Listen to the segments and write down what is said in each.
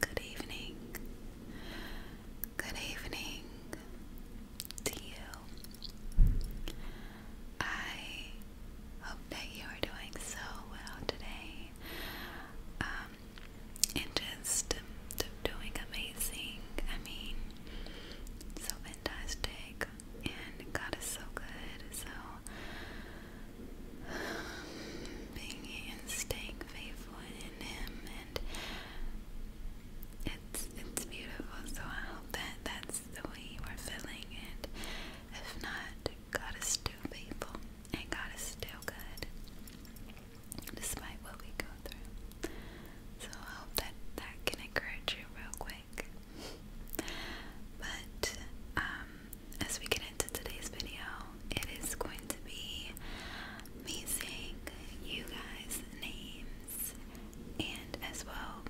Good evening. Good evening to you. I hope that you are doing so well today. Um, and just um, doing amazing. I mean, so and God is so good. So, being and staying faithful in Him, and it's it's beautiful. So I hope that that's the way you are feeling, and if not, God is still faithful, and God is still good, despite what we go through. So I hope that that can encourage you real quick. But um, as we get into today's video, it is going to be me saying you guys' names and as well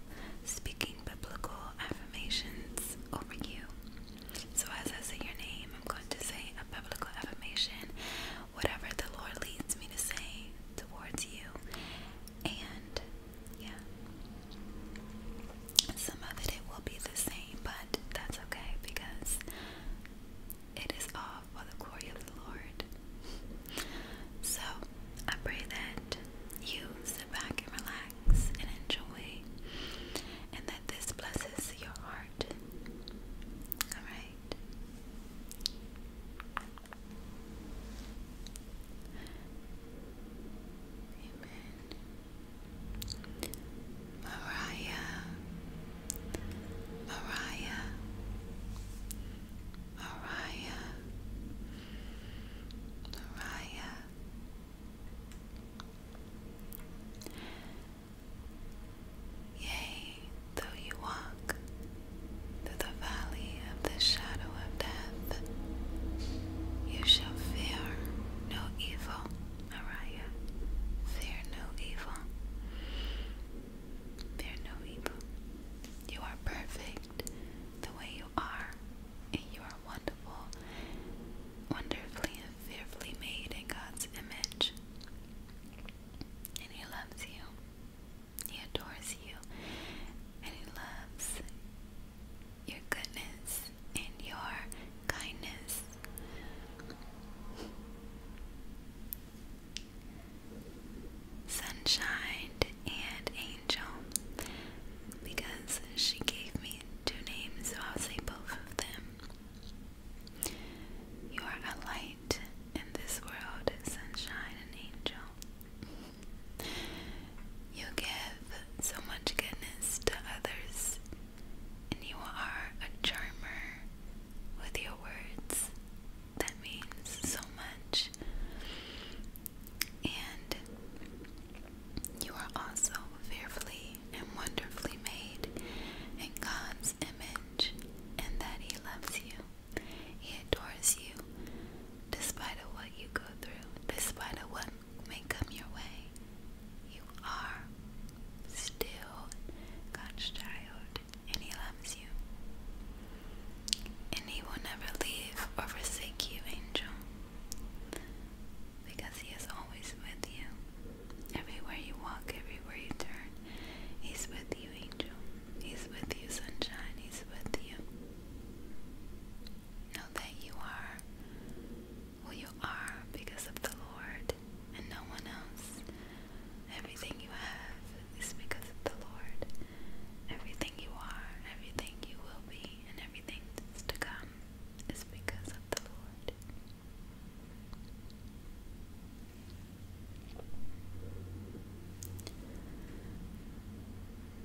speaking biblical affirmations over you. So as I say your name, I'm going to say a biblical affirmation, whatever the Lord leads me to say towards you, and yeah, some of it it will be the same, but that's okay because it is all for the glory of the Lord. So I pray that you sit back and relax and enjoy, and that this blesses your heart. All right. Amen. Mariah, Mariah, Mariah, Yay, though you walk through the valley of the shadow of death, you shall fear no evil. Mariah, fear no evil. Fear no evil. You are perfect the way you are, and you are wonderful, wonderfully and fearfully made in God's image. And He loves you. He adores you and He loves your goodness and your kindness. Sunshine and Angel, because she gave me two names, so I'll say both of them. You are a light in this world, sunshine and angel. You give so much goodness to others, and you are a charmer with your words. That means so much. And you are also fearfully and wonderfully made in God's image, and that He loves you. He adores you, despite of what you go through, despite of what may come your way. You are still God's child, and He loves you. And He will never leave or forsake you, angel, because He is always with you. Everywhere you walk, everywhere you turn, He's with you, angel. He's with you, sunshine. He's with you. Know that you are who you are because of the Lord and no one else. Everything you have is because of the Lord. Everything you are, everything you will be, and everything that's to come is because of the Lord.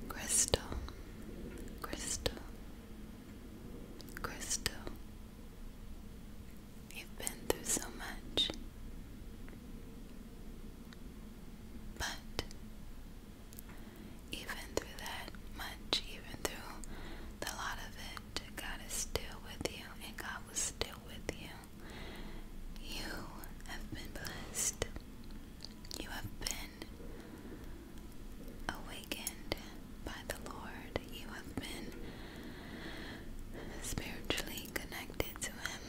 Crystal, crystal, crystal. You've been through so much, but even through that much, even through the lot of it, God is still with you, and God was still with you. You have been blessed. You have been awakened by the Lord. You have been spiritually connected to Him.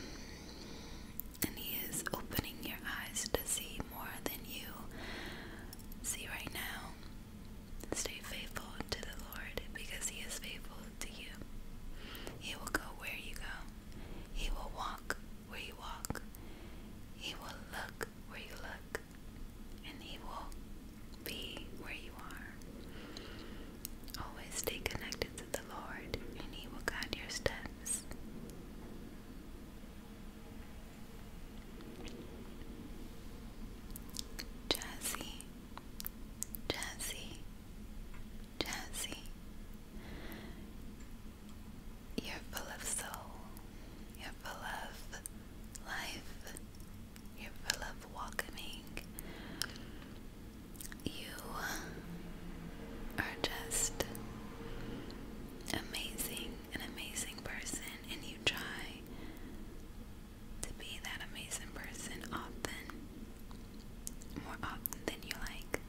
And He is opening your eyes to see more than you see right now. Stay faithful to the Lord because He is faithful to you. He will go where you go. He will walk where you walk. He will look where you look. And he will be where you are. Always stay connected to the Lord, and he will guide your steps. Jazzy, Jazzy, Jazzy. You're full of soul. You're full of life. You're full of welcoming. You are just amazing, an amazing person, and you try to be that amazing person often more often than you like.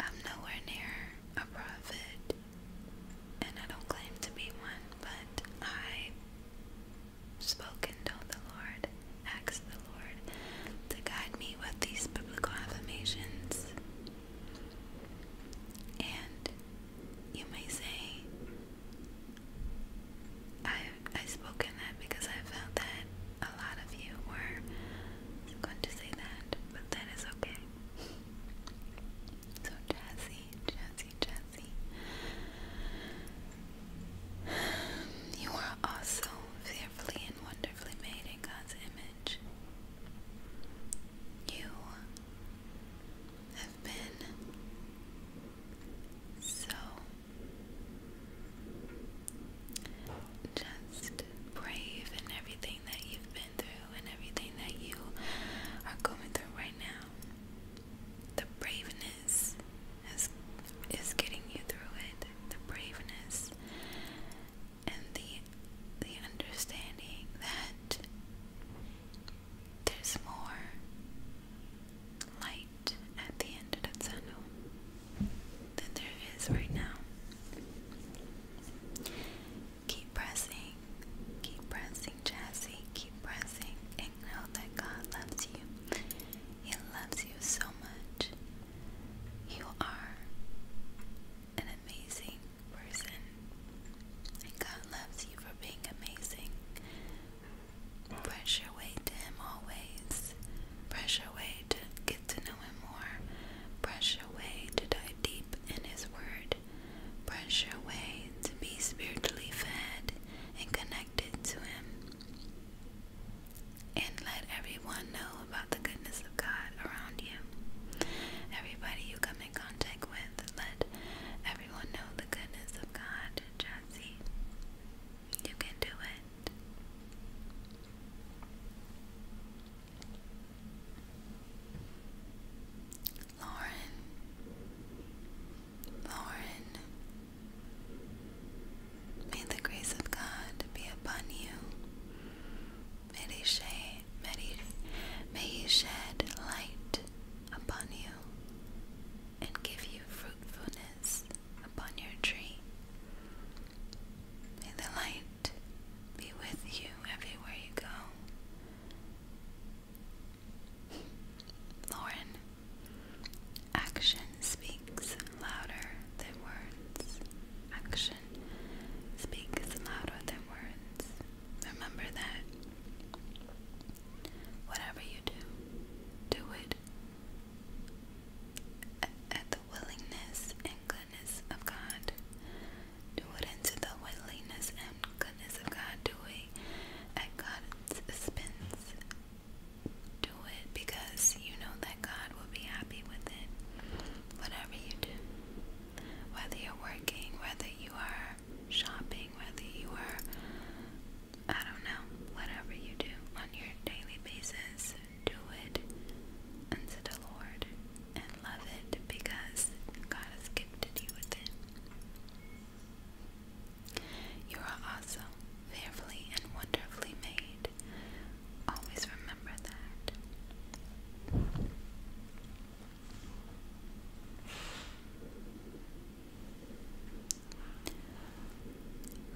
I'm nowhere near a prophet, and I don't claim to be one, but I spoke and told the Lord, asked the Lord to guide me with these biblical affirmations. And you may say, I I spoke in that because I felt that a lot of you were going to say that, but that is okay. So Jazzy, Jazzy, Jazzy, you are also fearfully and wonderfully made in God's image. You have been so just brave in everything that you've been through and everything that you are going through right now. The braveness is is getting you through it. The braveness and the the understanding that there's more light at the end of the tunnel than there is right now. Keep pressing, keep pressing, Jassy. keep pressing, and know that God loves you. He loves you so much. You are an amazing person, and God loves you for being amazing. Brush your way to Him always. Brush your way to get to know Him more. Brush your way to dive deep in His Word. Brush your way to be spiritually fed and connected to Him. And let everyone know about the goodness of God around you. Everybody you come in contact with, let everyone know the goodness of God, Jesse. You can do it. Lauren, Lauren, may the grace of God be upon you. May He shed, may he, may he shed light upon you and give you fruitfulness upon your tree. May the light be with you everywhere you go. Lauren, action speaks louder than words. Action speaks louder than words. Remember that. Whatever you do, do it at the willingness and goodness of God. Do it into the willingness and goodness of God. Do it at God's expense. Do it because you know that God will be happy with it. Whatever you do, whether you're working, whether you are shopping, whether you are I don't know, whatever you do on your daily basis, do it unto the Lord and love it because God has gifted you with it. You are also fearfully and wonderfully made. Always remember that.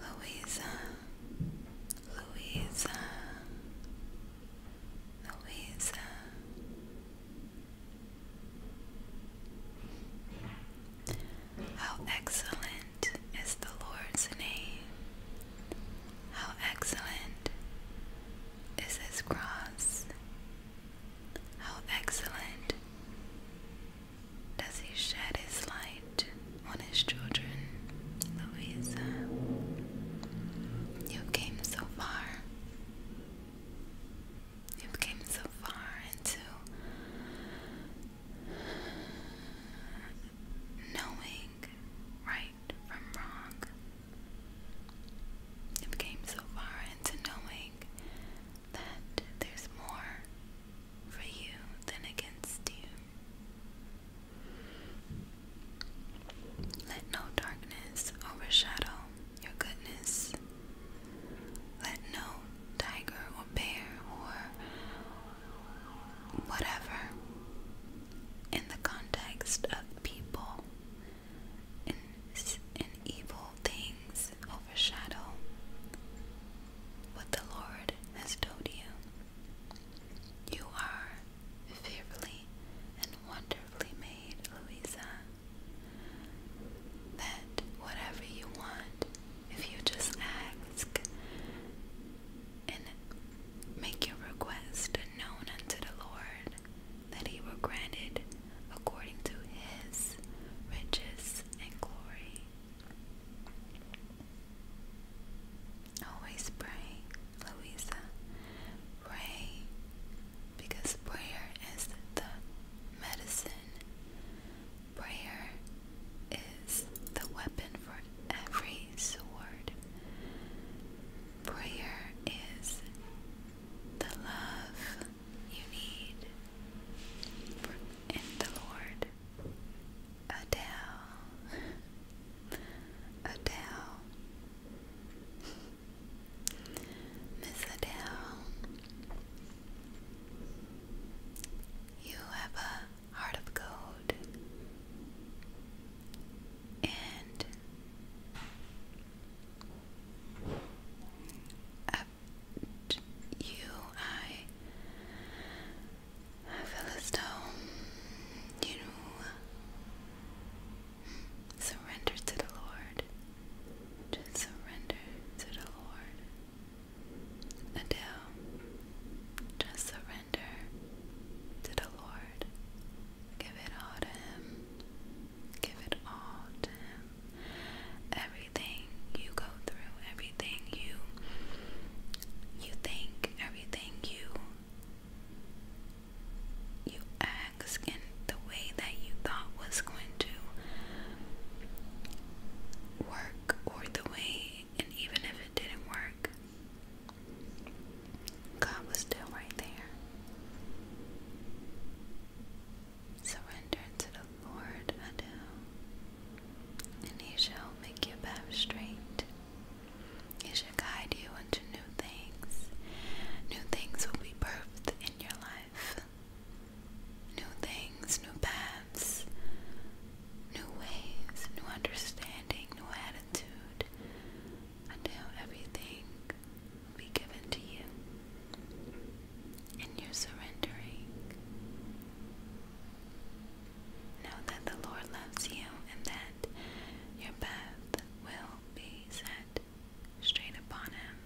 Louisa, Louisa, Louisa. How excellent is the Lord's name! How excellent is His cross! How excellent does he shed his light on his children, Louisa? You came so far. You came so far into knowing right from wrong. You came so far into knowing that there's more for you than against you. Let no darkness overshadow your goodness. Let no tiger or bear or whatever in the context of people and, evil things overshadow what the Lord has told you. You are fearfully and wonderfully made, Louisa. That whatever you want, if you just ask and make your request known unto the Lord, that he were granted according to his riches and glory. Always pray, Louisa. Pray, because prayer is the medicine. Prayer is the weapon for every sword. Prayer is the love you need in the Lord. Adele, Adele, Miss Adele, you have a heart of gold, and I you, I. I feel as though you surrender to the Lord. Just surrender to the Lord. Adele, just surrender to the Lord. Give it all to Him. Give it all to Him. Everything you go through, everything you you think, everything you you ask in the way that you thought was going to work or the way and even if it didn't work God was still right there. Surrender to the Lord Adel, and he shall make your path straight. He shall guide you into new things. New things will be birthed in your life. New things, new paths, new ways, new understanding, new attitude. Adel, everything be given to you. And you're surrendering. Know that the Lord loves you and that your path will be set straight upon Him.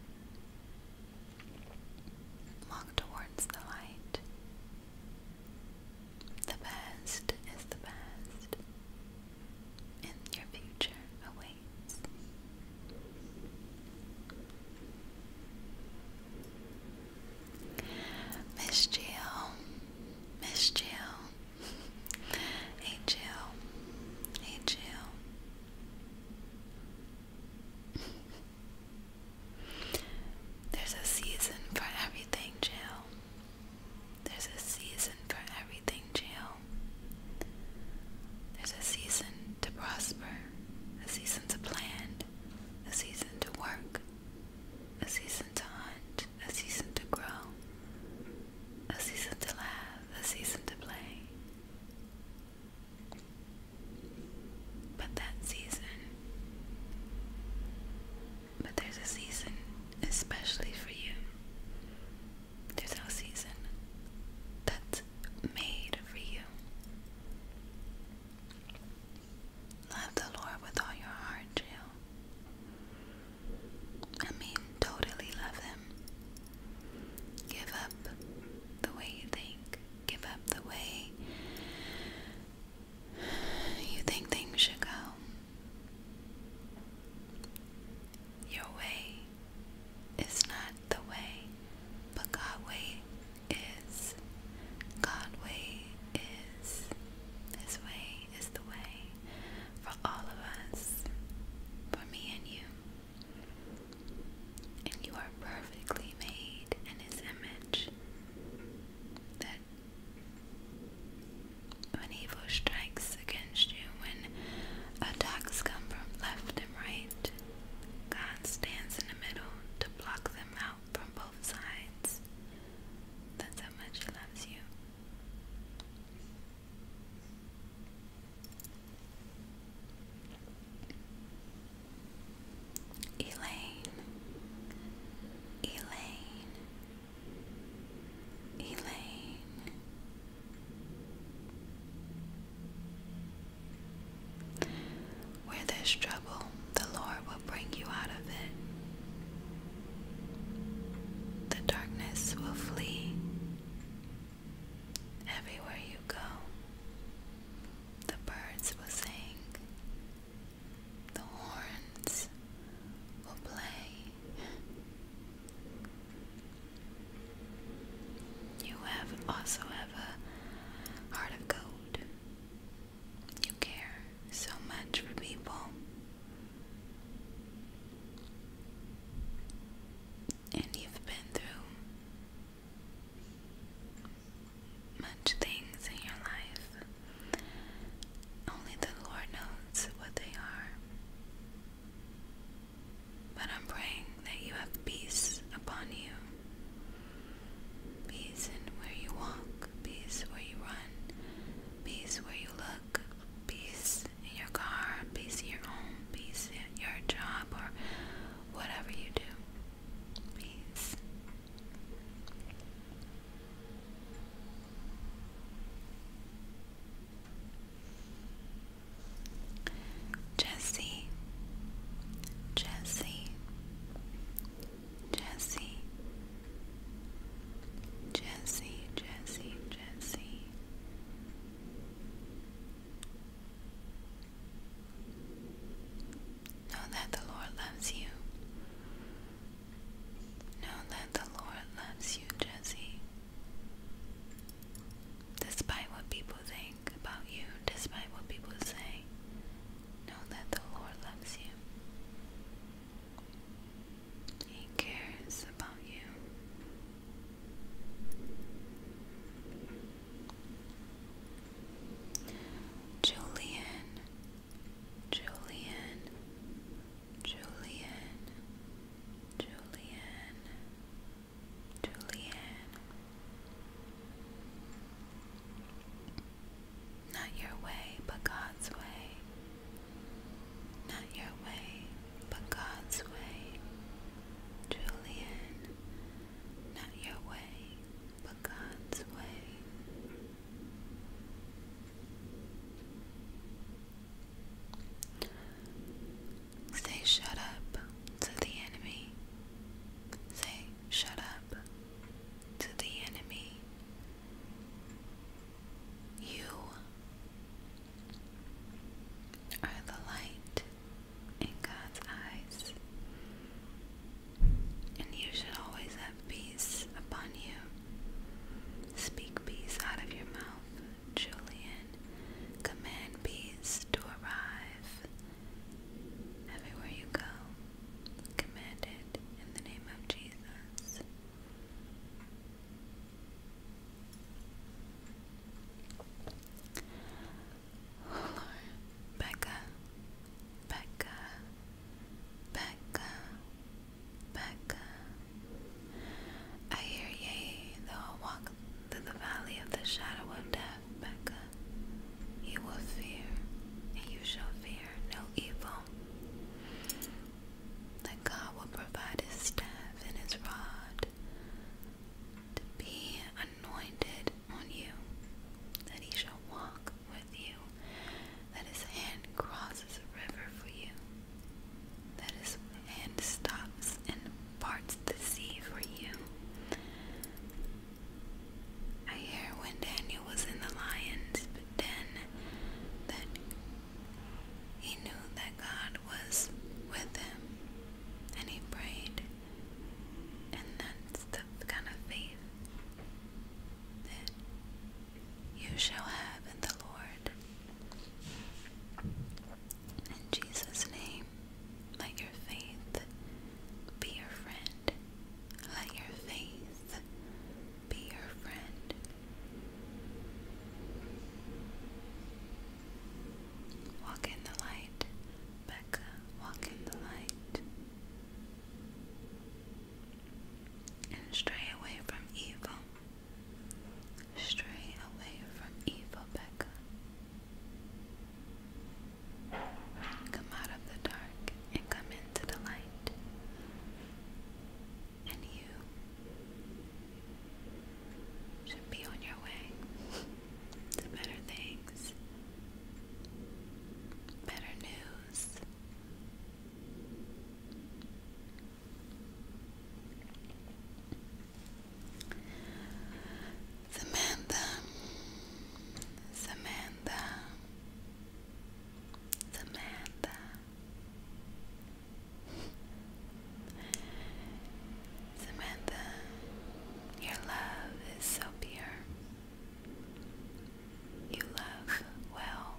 Walk towards the light. The past is the past, and your future awaits. Miss Jill, Miss Jill, Jill, Jill. There's a season for everything, Jill. There's a season for everything, Jill. There's a season to prosper, a season to plan, a season to work, a season to hunt, a season to grow, a season to laugh, a season to play. But that season, but there's a season especially for you. There's no season that's made for you. Love the Lord with all your heart, Jill. I mean, totally love Him. Give up the way you think, give up the way you think things should go. Your way is not the way, but God's way is. God's way is. His way is the way for all of us, for me and you. And you are perfectly made in His image. That when evil strikes again when attacks come from left and right. God stands in the middle to block them out from both sides. That's how much He loves you. Elaine, Elaine, Elaine, where there's trouble, the Lord will bring you out of it. The darkness will flee everywhere you go. The birds will sing, the horns will play, you have also have a heart of gold. You care so much for people. And you've been through much things in your life. Only the Lord knows what they are. But I'm praying that you have peace upon you. Peace in where you walk, peace where you run, peace where you look, peace in your car, peace in your home, peace in your job, or whatever you do. Peace. Jesse, Jesse, Jesse, Jesse, Jesse, Jesse. Know that the Lord loves you. Know that the Lord loves you, Jesse. Despite what people think about you, despite what people say, know that the Lord loves you. He cares about you. Julian, Julian, Julian, Julian, Julian, not your way, but God's way, not your way, but God's way, Julian, not your way, but God's way. Say shut up to the enemy. Say shut up to the enemy. You are the light in God's eyes, and you should always have peace upon you. Speak peace out of your mouth Julian, command bees to arrive. Everywhere you go, command it in the name of Jesus. Oh, Lord, Becca, Becca, Becca, Becca. I hear yea, though I walk through the valley of the shadow of death, Becca. You will fear, and you shall fear no evil. That God will provide his staff and his rod to be anointed on you, that he shall walk with you, that his hand crosses a river for you, that his hand stops and parts the sea for you. I hear when Daniel was in the lions, but that he knew that God was with him and he prayed. And that's the kind of faith that you shall have in the Lord. In Jesus' name, let your faith be your friend. Let your faith be your friend. Walk in the light, Becca. Walk in the light. And stray away from evil. Stray away from evil, Becca. Come out of the dark and come into the light. And you should be on your way to better things, better news, Samantha, Samantha, Samantha, Samantha, your love is so pure. You love well,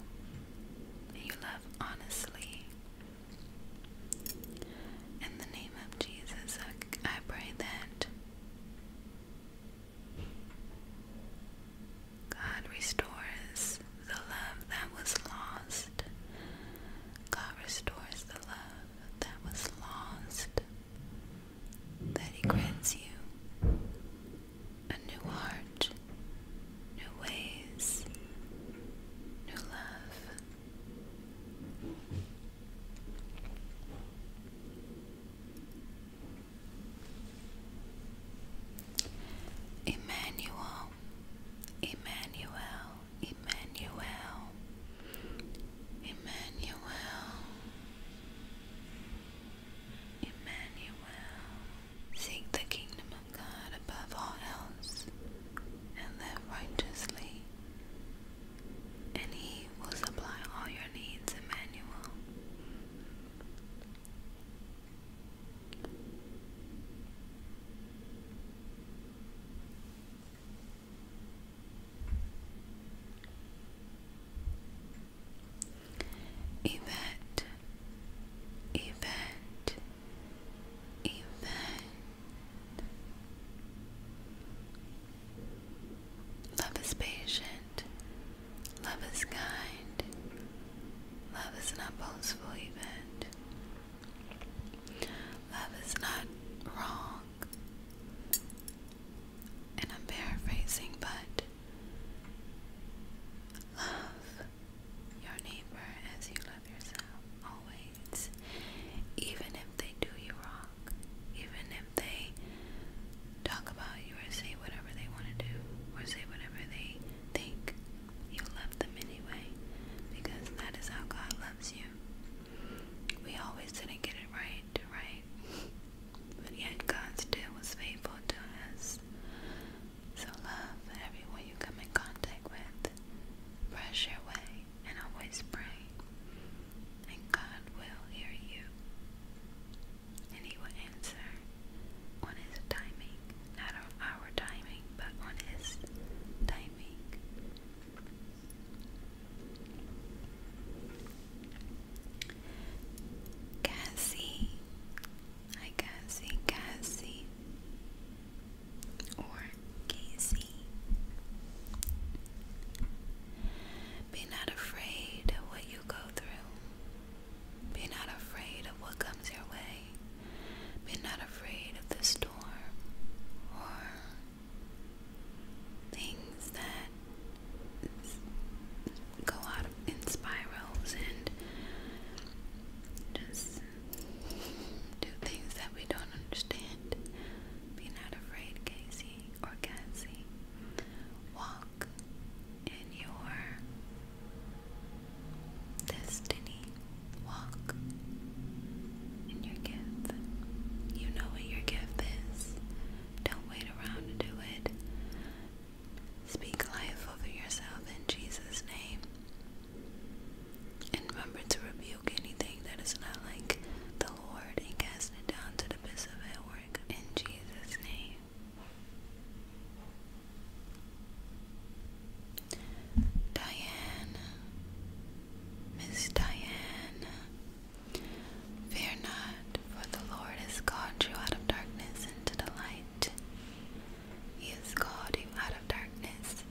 you love honestly. In the name of Jesus, I, pray that God restores the love that was lost. God restores the love that was lost. That He grants you a new heart new ways, new love. Emmanuel, Emmanuel, Emmanuel, Emmanuel, Emmanuel. Seek the kingdom of God above all else and live righteously, and He will supply all your needs, Emmanuel. Yvette event, event. Love is patient, love is kind, love is not boastful, event. Love is not wrong. And I'm paraphrasing, but love your neighbor as you love yourself, always. Even if they do you wrong, even if they talk about you or say whatever they want to do, or say whatever they think, you love them anyway, because that is how God loves you. We always didn't get it right, right? But yet God still was faithful to us. So love everyone you come in contact with. Brush your way and always pray. And God will hear you. And He will answer on His timing. Not our timing, but on His timing. Cassie, Hi Cassie, Cassie or Casey. Be not afraid of what you go through. Be not afraid of what comes your way. Be not afraid of the storm or things that go out in spirals and just do things that we don't understand. Be not afraid, Casey or Cassie. Walk in your destiny. Walk in your gift. You know what your gift is. Don't wait around to do it. Speak life over yourself in Jesus' name. And remember to rebuke anything that is not like the Lord and cast it down to the abyss of hell work in Jesus' name. Diane, Miss Diane, fear not, for the Lord has called you out of darkness into the light light. He has called you out of darkness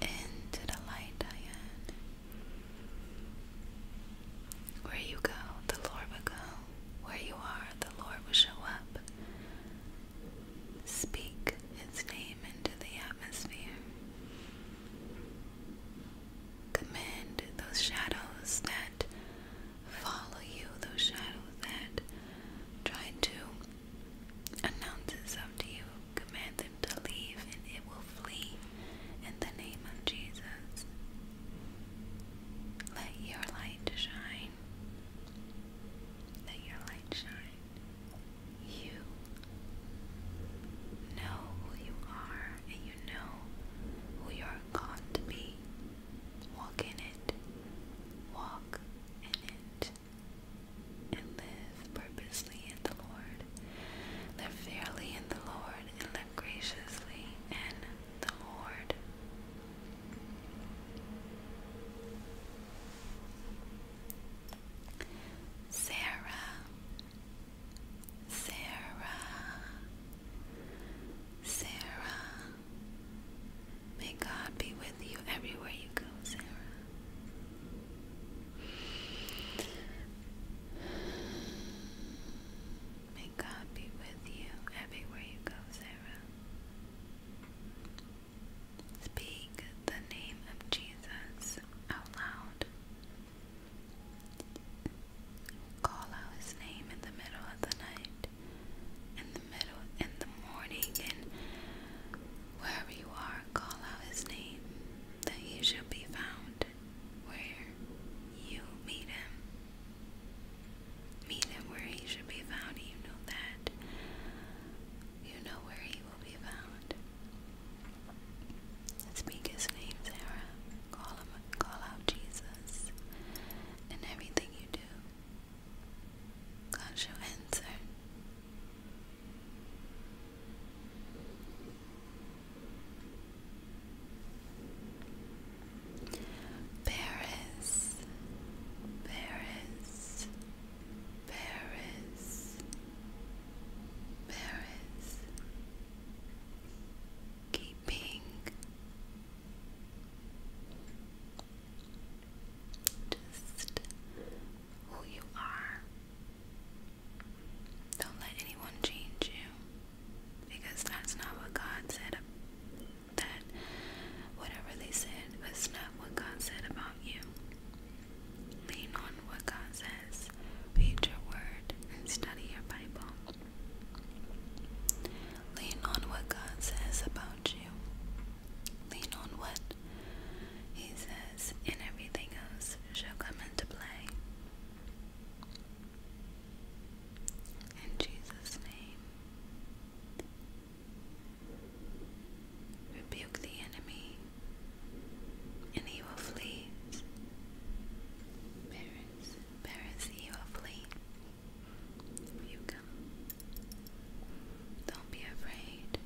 into the light, Diane. Where you go, the Lord will go. Where you are, the Lord will show up. Speak His name into the atmosphere. Command those shadows that follow you, those shadows that try to announce itself to you. Command them to leave, and it will flee in the name of Jesus. Let your light shine. Let your light shine. You know who you are, and you know who you are called to be. Walk in it. Walk in it. And live purposely in the Lord. Live fairly in the Lord. And live graciously in the Lord. Sarah, Sarah, Sarah, May God be with you everywhere you go, Sarah. May God be with you everywhere you go, Sarah. Speak the name of Jesus out loud. Call out his name in the middle of the night in the middle, in the morning, and wherever you are, call out his name, that he shall be found where you meet him. Meet him where he should be found, you know that. You know where he will be found. Speak his name, Sarah. Call him, call out Jesus. In everything you do, do? Can't you answer? Paris, Paris, Paris, Paris, keeping just who you are. Don't let anyone change you. Because that's not what God said. That whatever they said was not what God said about you. Lean on what God says. Read your word and study your Bible. Lean on what God says about you. Lean on what He says, and everything else shall come into play. In Jesus' name. Rebuke the enemy, and he will flee. Paris, Paris, he will flee you come. Don't be afraid.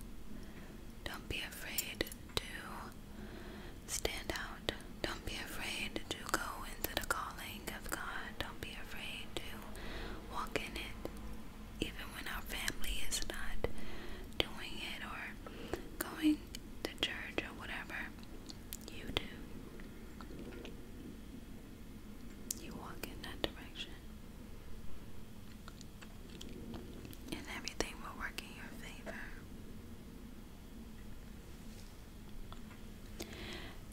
Don't be afraid to stand out. Don't be afraid to go into the calling of God. Don't be afraid to walk in it. Even when our family is not doing it or going to church or whatever, you do you walk in that direction, and everything will work in your favor.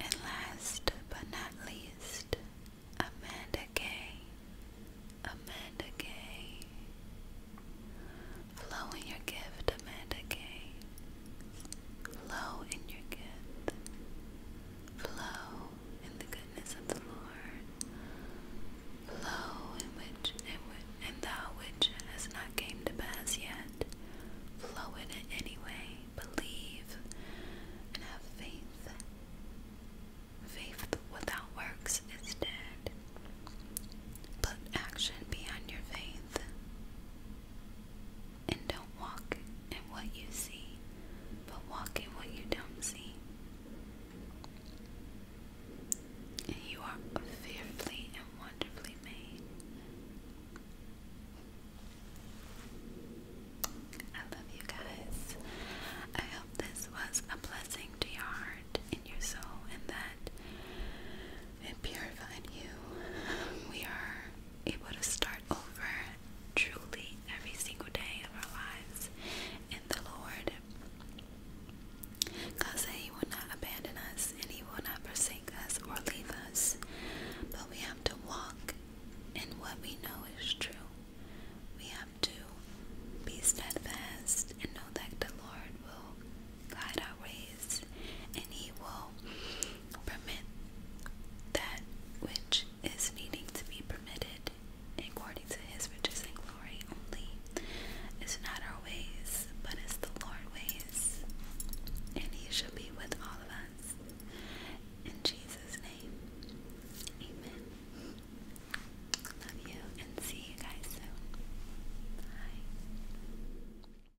And last but not least, Amanda Gay. Amanda Gay. Flow in your gift, Amanda Gay. Flow in your gift. Flow in the goodness of the Lord. Flow in which and, thou which has not came to pass yet. Flow in it anyway. Believe and have faith. Faith without works is dead. But action behind your faith. And don't walk in what you see, but walk in what you don't see. And you are fearfully and wonderfully made. I love you guys. I hope this was a blessing to your heart and your soul, and that it purified you. We are able to start over truly every single day of our lives in the Lord. God said He will not abandon us and He will not forsake us or leave us, but we have to walk in what we know is true. We have to be steadfast and know that the Lord will God our ways, and He will permit that which is needing to be permitted according to His riches and glory only. It's not our ways, but it's the Lord's ways, and He shall be with all of us. In Jesus' name, Amen. Love you, and see you guys soon. Bye.